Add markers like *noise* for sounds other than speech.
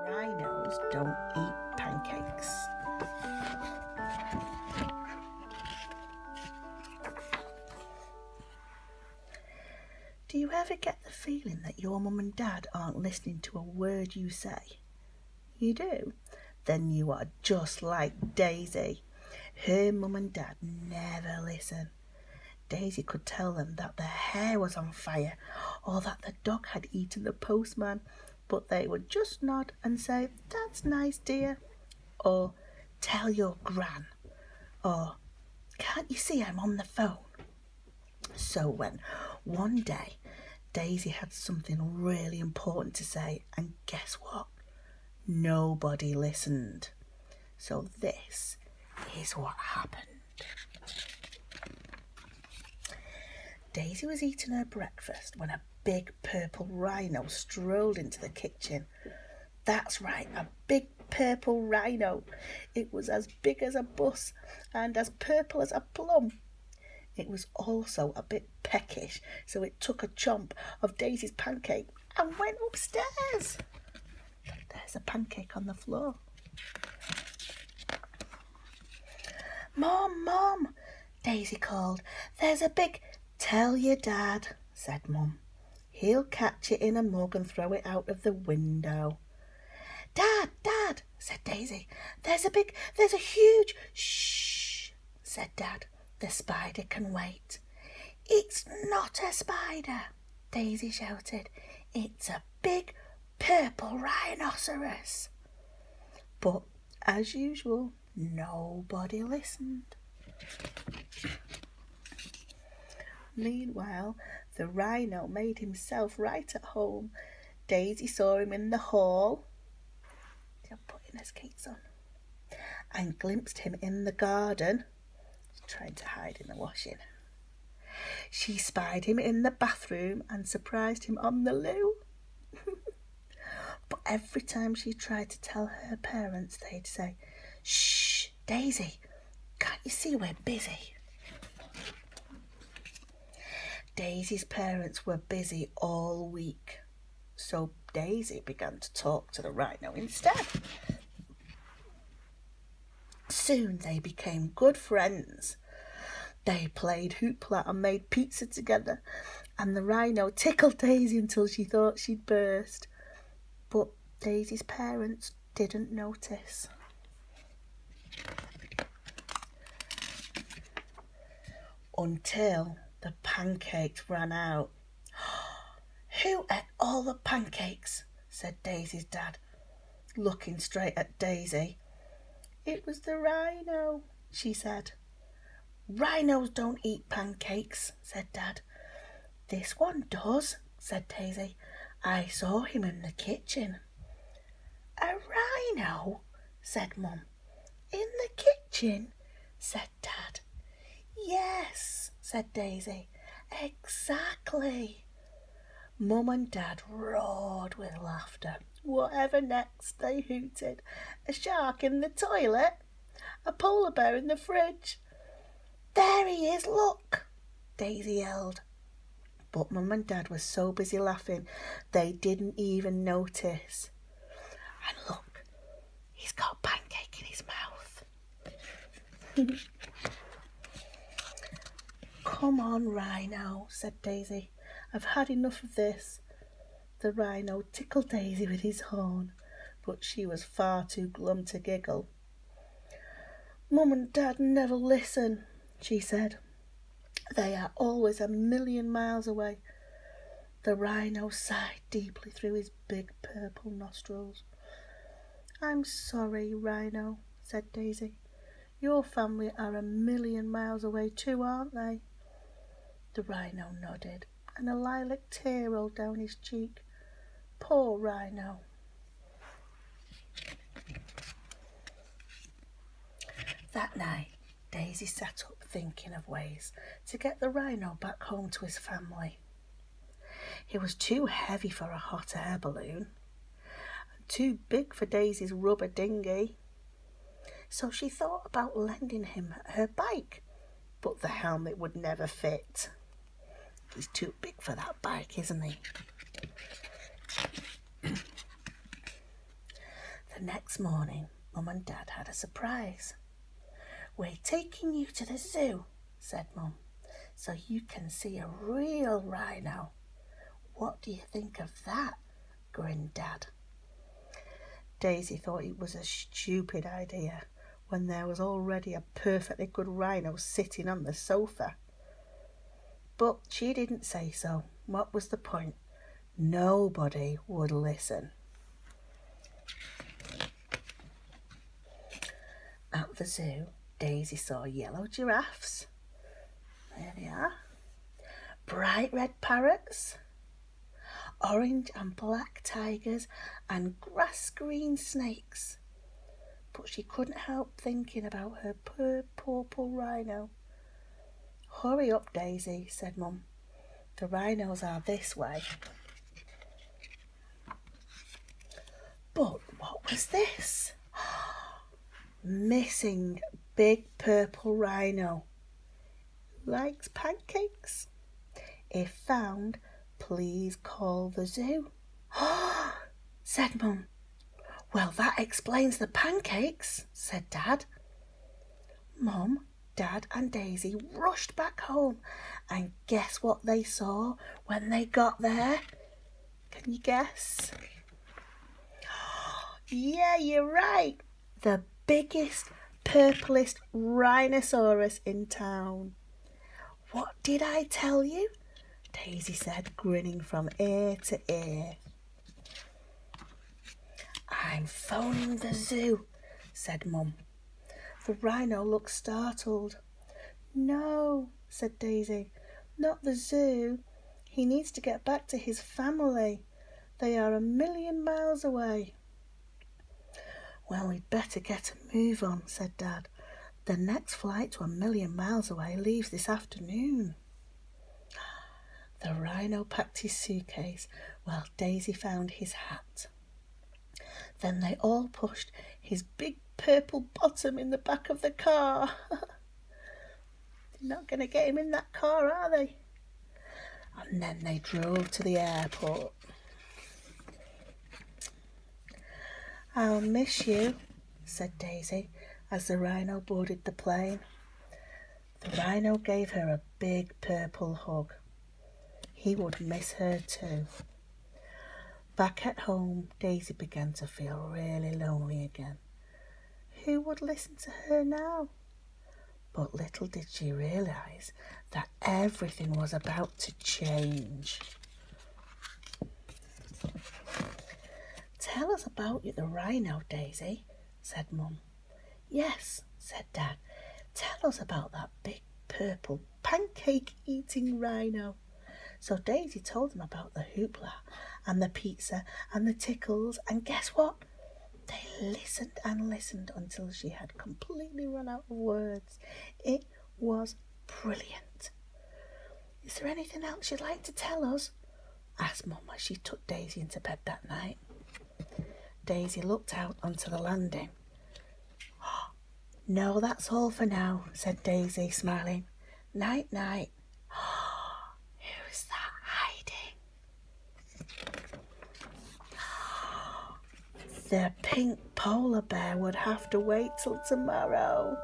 Rhinos don't eat pancakes. Do you ever get the feeling that your mum and dad aren't listening to a word you say? You do? Then you are just like Daisy. Her mum and dad never listen. Daisy could tell them that their hair was on fire or that the dog had eaten the postman, but they would just nod and say, That's nice, dear, or Tell your gran, or Can't you see I'm on the phone? So when one day Daisy had something really important to say, and guess what? Nobody listened. So, this is what happened. Daisy was eating her breakfast when a big purple rhino strolled into the kitchen. That's right, a big purple rhino. It was as big as a bus and as purple as a plum. It was also a bit peckish, so it took a chomp of Daisy's pancake and went upstairs. There's a pancake on the floor. Mom, Mom, Daisy called. There's a big, tell your dad, said Mum. He'll catch it in a mug and throw it out of the window. Dad, Dad, said Daisy. There's a big, there's a huge, shh, said Dad. The spider can wait. It's not a spider, Daisy shouted. It's a big purple rhinoceros. But as usual, nobody listened. Meanwhile, the rhino made himself right at home. Daisy saw him in the hall putting his skates on, and glimpsed him in the garden, trying to hide in the washing. She spied him in the bathroom and surprised him on the loo. *laughs* but every time she tried to tell her parents, they'd say, Shh, Daisy, can't you see we're busy? Daisy's parents were busy all week, so Daisy began to talk to the rhino instead. Soon they became good friends. They played hoopla and made pizza together, and the rhino tickled Daisy until she thought she'd burst. But Daisy's parents didn't notice until the pancakes ran out. *gasps* Who ate all the pancakes? said Daisy's dad, looking straight at Daisy. It was the rhino, she said. Rhinos don't eat pancakes, said Dad. This one does, said Daisy. I saw him in the kitchen. A rhino, said Mum. In the kitchen, said Dad. Yes, said Daisy. Exactly. Mum and Dad roared with laughter. Whatever next, they hooted. A shark in the toilet, a polar bear in the fridge. There he is, look, Daisy yelled. But mum and dad were so busy laughing, they didn't even notice. And look, he's got pancake in his mouth. Come on, Rhino, said Daisy. I've had enough of this. The rhino tickled Daisy with his horn, but she was far too glum to giggle. Mom and Dad never listen, she said. They are always a million miles away. The rhino sighed deeply through his big purple nostrils. I'm sorry, Rhino, said Daisy. Your family are a million miles away too, aren't they? The rhino nodded, and a lilac tear rolled down his cheek. Poor rhino. That night, Daisy sat up thinking of ways to get the rhino back home to his family. He was too heavy for a hot air balloon, and too big for Daisy's rubber dinghy. So she thought about lending him her bike, but the helmet would never fit. He's too big for that bike, isn't he? the next morning, Mum and Dad had a surprise. We're taking you to the zoo, said Mum, so you can see a real rhino. What do you think of that? grinned Dad. Daisy thought it was a stupid idea, when there was already a perfectly good rhino sitting on the sofa. But she didn't say so. What was the point? Nobody would listen. At the zoo, Daisy saw yellow giraffes. There they are. Bright red parrots. Orange and black tigers and grass green snakes but she couldn't help thinking about her poor purple rhino. Hurry up, Daisy, said Mum. The rhinos are this way. But what was this? *gasps* Missing big purple rhino. Likes pancakes. If found, Please call the zoo. Oh, *gasps* said Mum. Well, that explains the pancakes, said Dad. Mum, Dad, and Daisy rushed back home, and guess what they saw when they got there? Can you guess? *gasps* Yeah, you're right. The biggest, purplest rhinoceros in town. What did I tell you? Daisy said, grinning from ear to ear. I'm phoning the zoo, said Mum. The rhino looked startled. No, said Daisy, not the zoo. He needs to get back to his family. They are a million miles away. Well, we'd better get a move on, said Dad. The next flight to a million miles away leaves this afternoon. The rhino packed his suitcase while Daisy found his hat. Then they all pushed his big purple bottom in the back of the car. *laughs* They're not going to get him in that car, are they? and then they drove to the airport. I'll miss you, said Daisy as the rhino boarded the plane. The rhino gave her a big purple hug. He would miss her too. Back at home, Daisy began to feel really lonely again. Who would listen to her now? But little did she realise that everything was about to change. Tell us about the rhino, Daisy, said Mum. Yes, said Dad. Tell us about that big purple pancake eating rhino. So Daisy told them about the hoopla and the pizza and the tickles, and guess what? They listened and listened until she had completely run out of words. It was brilliant. Is there anything else you'd like to tell us? asked Mum as she took Daisy into bed that night. Daisy looked out onto the landing. *gasps* No, that's all for now, said Daisy, smiling. Night, night. Who's that hiding? The pink polar bear would have to wait till tomorrow.